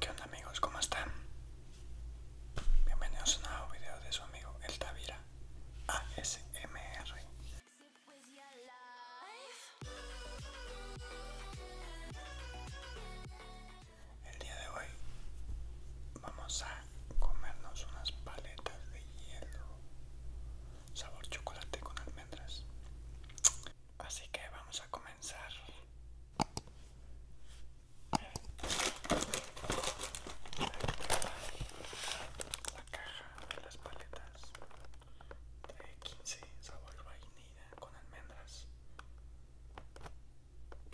¿Qué onda amigos? ¿Cómo están? Bienvenidos a un nuevo video de su amigo El Tavira ASMR El día de hoy vamos a comernos unas paletas de hielo sabor chocolate con almendras. Así que vamos a comenzar. La caja de las paletas de 15 sabor vainilla con almendras.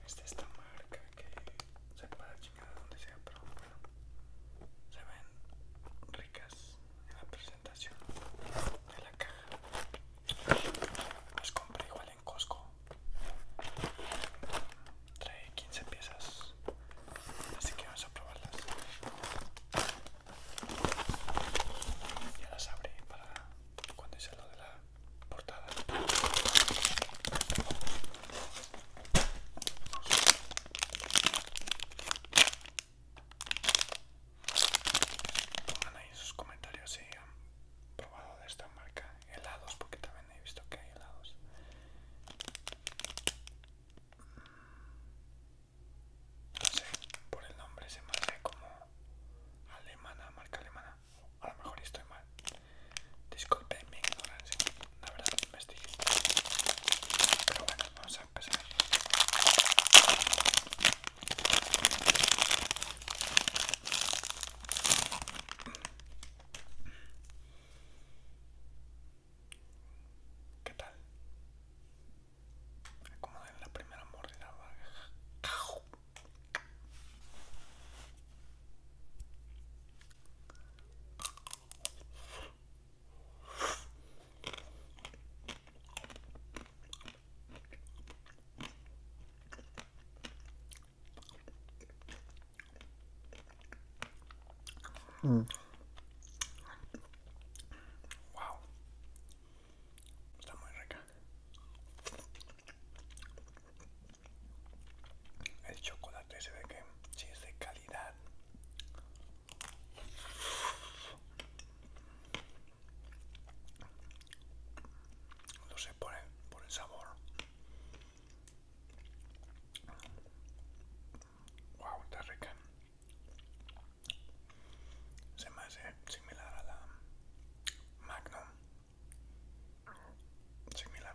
Esta es la marca que sepa la chingada donde sea, pero bueno se ven ricas en la presentación de la caja las compré igual en Costco trae 15 piezas así que vamos a probarlas ya las abrí para cuando hice lo de la portada Pongan ahí sus comentarios si han probado de esta marca helados, porque también he visto que hay helados. Mm, no sé, por el nombre se me hace como alemana, marca alemana. A lo mejor estoy mal. Disculpen mi ignorancia la verdad no investigué pero bueno vamos a empezar ¿Qué tal? Como en la primera mordida. Mm. Wow. Está muy rica. El chocolate se ve que sí es de calidad. No sé, por el, por el sabor. Wow, está rica. Se me hace similar a la Magnum. Similar.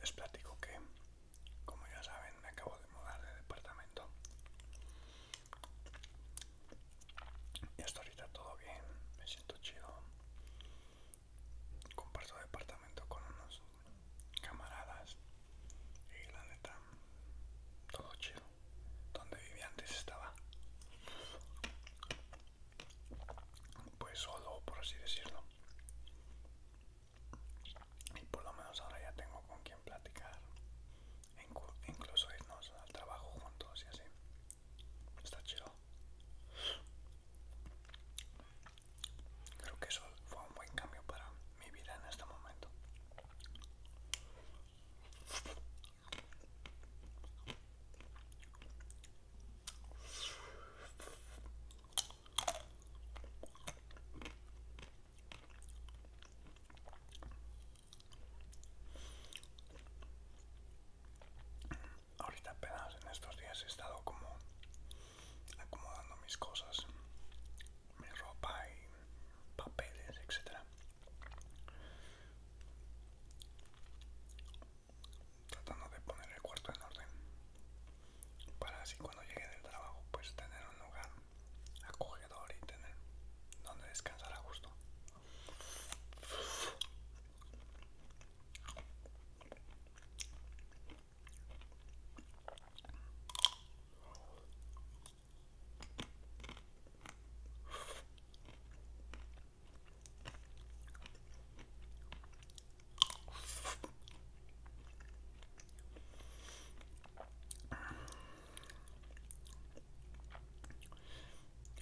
Les platico que, como ya saben, me acabo de mudar de departamento. Y hasta ahorita todo bien, me siento chido. Comparto departamento con unos camaradas y la neta todo chido. Donde vivía antes estaba pues solo, por así decirlo. Y por lo menos ahora ya tengo con quien platicar, incluso irnos al trabajo juntos y así. Está chido. Creo que eso fue un buen cambio para mi vida en este momento. Ahorita apenas en estos días he estado como acomodando mis cosas, mi ropa y papeles, etcétera. Tratando de poner el cuarto en orden para así cuando llegue del trabajo pues tener un lugar acogedor y tener donde descansar a gusto.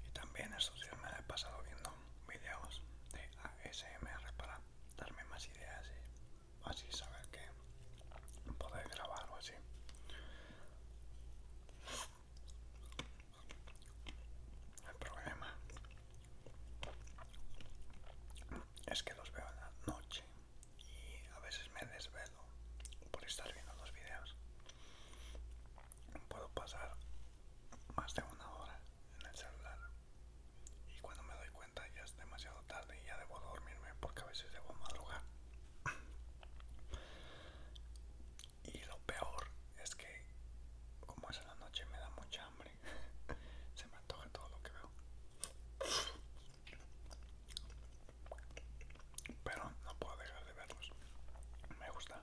Y también estos días me he pasado viendo videos de ASMR para darme más ideas y así saber qué poder grabar o así. El problema es que los veo en la noche y a veces me desvelo por estar viendo los videos. Puedo pasar más de una hora en el celular y cuando me doy cuenta ya es demasiado tarde y ya debo dormirme porque a veces debo madrugar y lo peor es que, como es en la noche, me da mucha hambre. Se me antoja todo lo que veo. Pero no puedo dejar de verlos. Me gusta.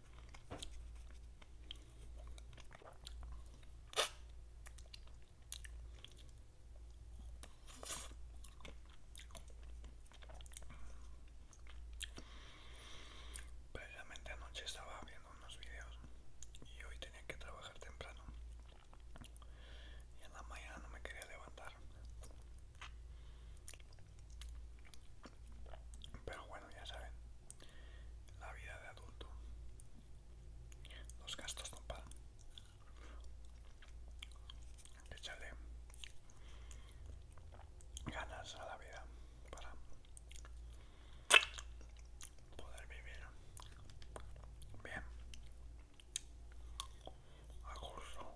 previamente anoche estaba viendo unos videos y hoy tenía que trabajar temprano y en la mañana no me quería levantar. Pero bueno, ya saben, la vida de adulto, los gastos no echale ganas a la vida para poder vivir bien, a curso.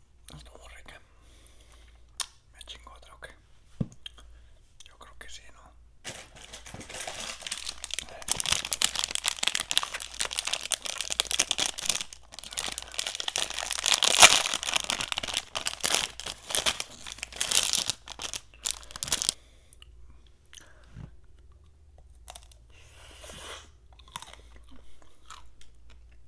estuvo rica me chingo otra ok yo creo que sí no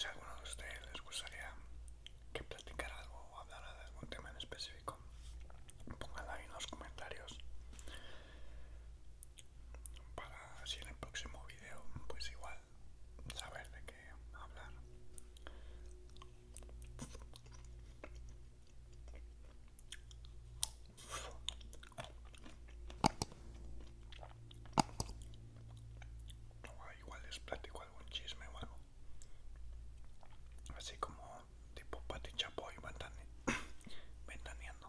Si alguno de ustedes les gustaría que platicara algo o hablara de algún tema en específico, pónganlo ahí en los comentarios para si en el próximo video, pues igual saber de qué hablar igual les platico algún chisme o algo así como tipo Pati Chapoy ventaneando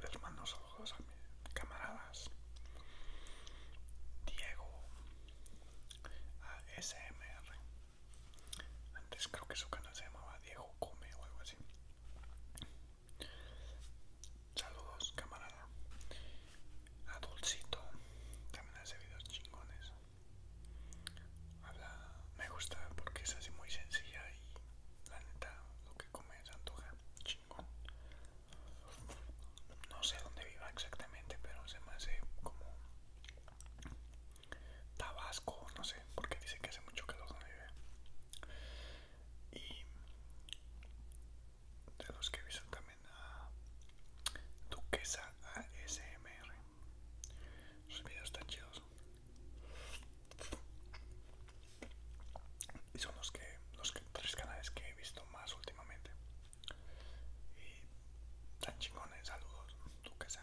Les mando saludos a mis camaradas Diego ASMR. Antes creo que su canal se llamaba Diego Come o algo así. Saludos, camarada. Adulcito También hace videos chingones. Habla, me gusta porque es así muy sencilla y la neta lo que come es antoja chingón. No sé dónde viva exactamente, pero se me hace como Tabasco, no sé, porque dice que hace mucho calor donde vive y de los que he visto también a Duquesa ASMR. Sus videos están chidos. Y son los que los tres canales que he visto más últimamente. Y tan chingones, saludos, Duquesa.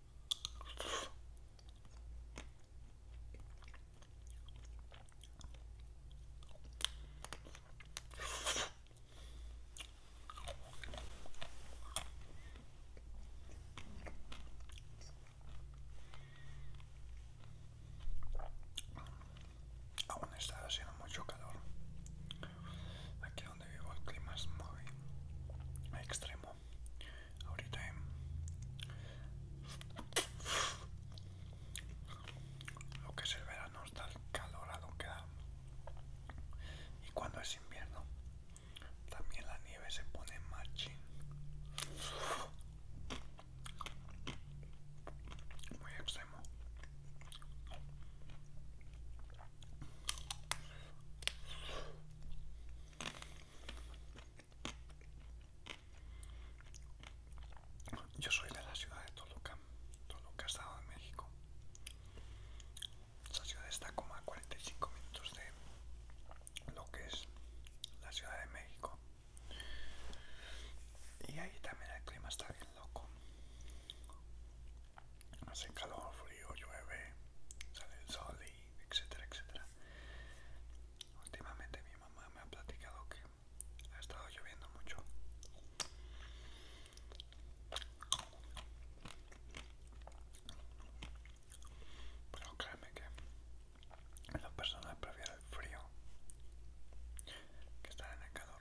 Aún está haciendo mucho calor. Aquí donde vivo el clima es muy extremo ahorita eh. lo que es el verano está el calorado que da y cuando es invierno también la nieve se pone más muy extremo yo soy de la ciudad de Toluca, Toluca, Estado de México. Esta ciudad está como a 45 minutos de lo que es la Ciudad de México. Y ahí también el clima está bien loco. Hace calor, frío, llueve, sale el sol etcétera, etcétera. Últimamente mi mamá me ha platicado que ha estado lloviendo mucho. Pero créeme que las personas prefieren el frío que estar en el calor.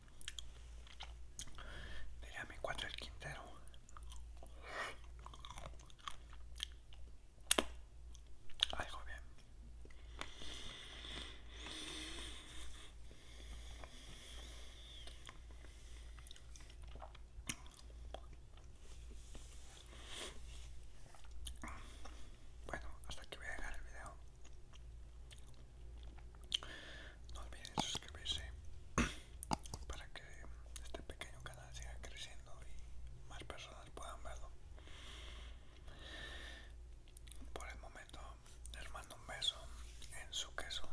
Diría mi cuatro el Quintero. Algo bien. Bueno, hasta aquí voy a llegar el video. No olviden suscribirse para que este pequeño canal siga creciendo y más personas puedan verlo. Por el momento les mando un beso en su queso.